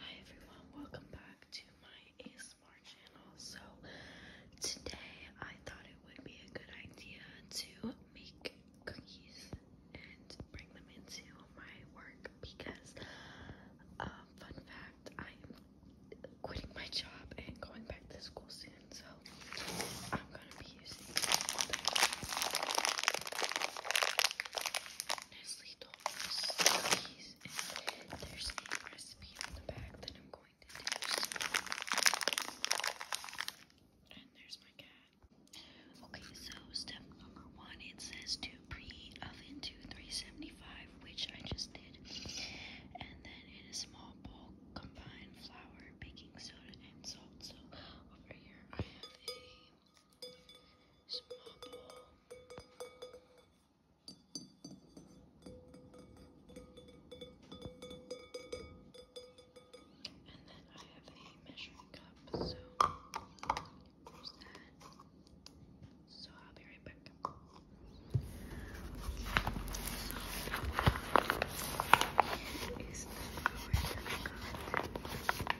Hi everyone, welcome back to my ASMR channel. So today I thought it would be a good idea to make cookies and bring them into my work because um, fun fact, I'm quitting my job and going back to school soon. So I'm gonna be using Nestle Okay, so step number one, it says to pre-oven to 375, which I just did. And then in a small bowl, combine flour, baking soda, and salt. So over here I have a Small bowl. And then I have a measuring cup, so there's that. So I'll be right back. So, is the flower that I got.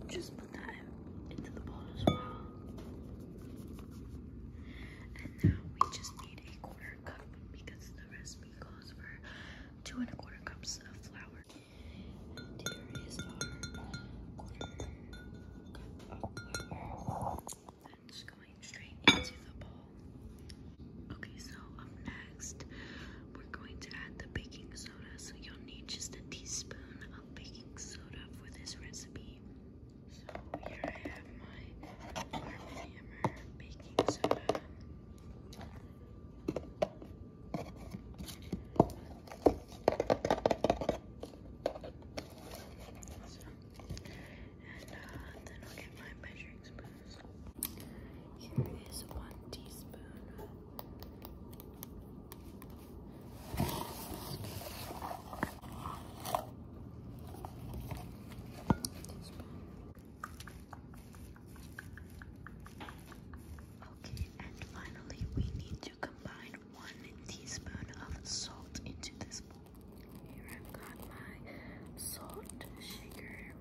And Just put that into the bowl as well. And now we just need a quarter cup because the recipe calls for two and a quarter cups of flour. And here is our that's going straight into the bowl. Okay, so up next, we're going to add the baking soda. So you'll need just a teaspoon of baking soda for this recipe. So here I have my Hammer baking soda. Awesome. And then I'll get my measuring spoons. Here is one teaspoon. Okay, and finally, we need combine one teaspoon of salt into this bowl. Here I've got my salt shaker.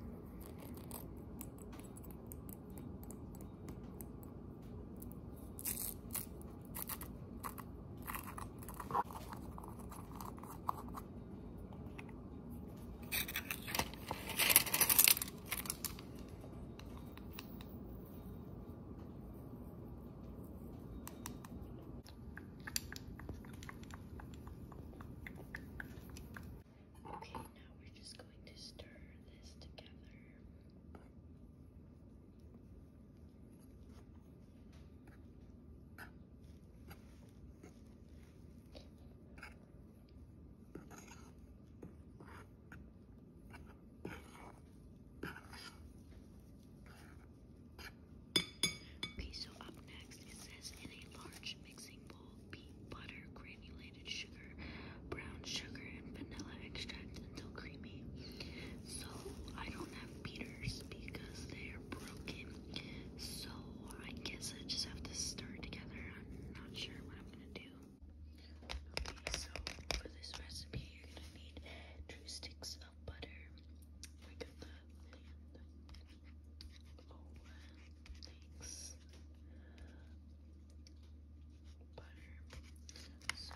Okay, now we're just going to stir this together. Okay, Okay, so up next it says in a large mixing bowl, beat butter, granulated sugar, brown sugar, and vanilla extract until creamy. So I don't have beaters because they are broken. So I guess I just have to stir together. I'm not sure what I'm gonna do. Okay, so for this recipe, you're gonna need two sticks of butter. Oh, thanks. Butter. So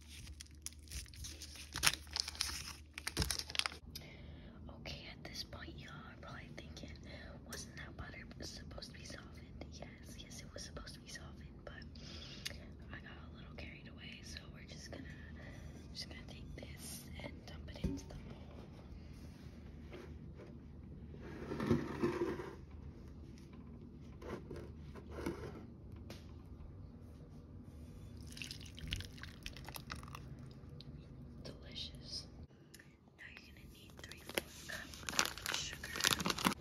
Okay, at this point, y'all are probably thinking, wasn't that butter supposed to be softened? Yes, yes, it was supposed to be softened, but I got a little carried away, so we're just gonna, just gonna take this and dump it into the bowl. Delicious. Now you're gonna need three fourth cup of sugar.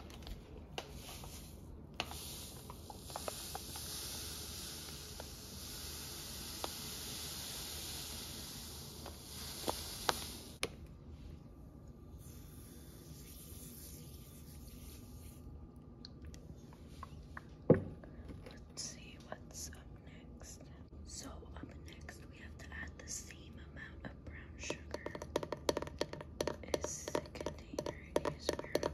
Let's see what's up next. So up next we have to add the same amount of brown sugar as the container is brown sugar.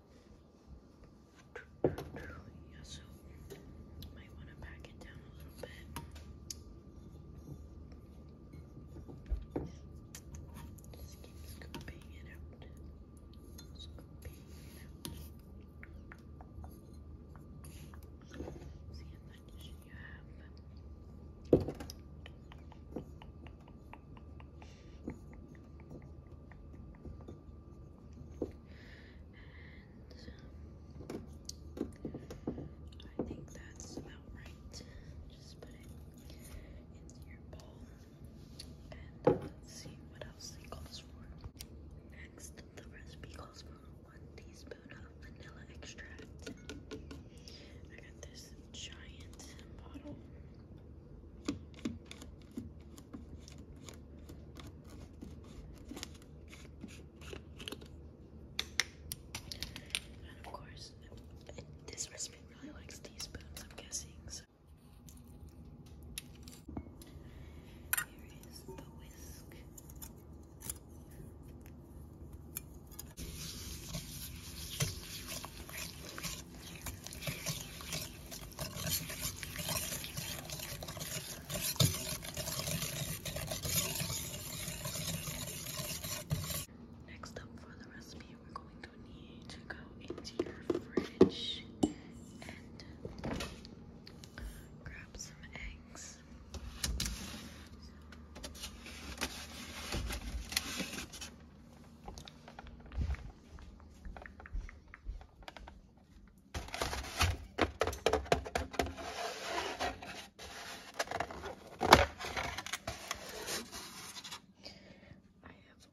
Yeah, so might want to pack it down a little bit. Just keep scooping it out. See how much you have. I think that's about right. Just put it into your bowl. And uh, see what else it calls for. Next, the recipe calls for one teaspoon of vanilla extract. I got this giant bottle. And of course, this recipe really likes teaspoons, I'm guessing. So. Here is the whisk. Next up for the recipe, we're going to need to go into your fridge and grab some eggs. I have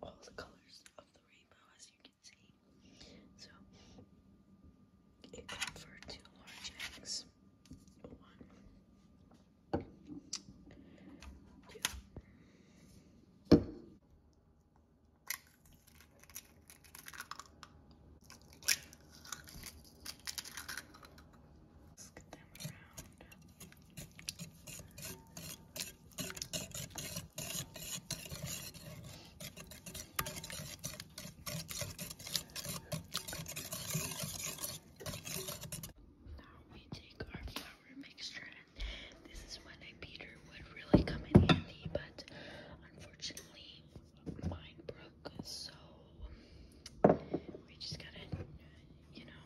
all the colors of the rainbow, as you can see. So it called for two large eggs. One, two, Let's get them around. Now we take our flour flour mixture this is when a beater would really come in handy but unfortunately mine broke so we just gotta you know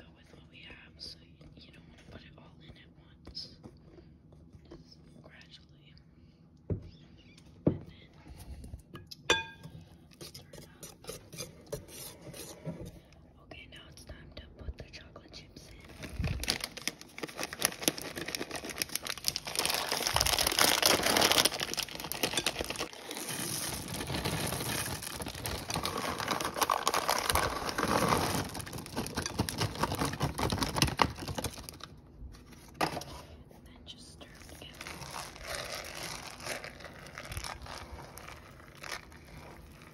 go with what we have so you don't put it all in at once just gradually and then Okay, now it's time to put the chocolate chips in. then just stir now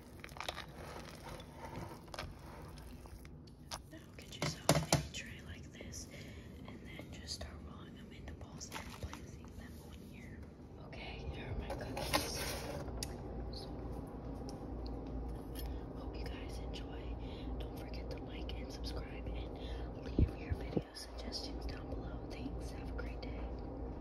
Okay, here are my cookies. hope you guys enjoy. Don't forget to like and subscribe and leave your video suggestions down below. Thanks, have a great day.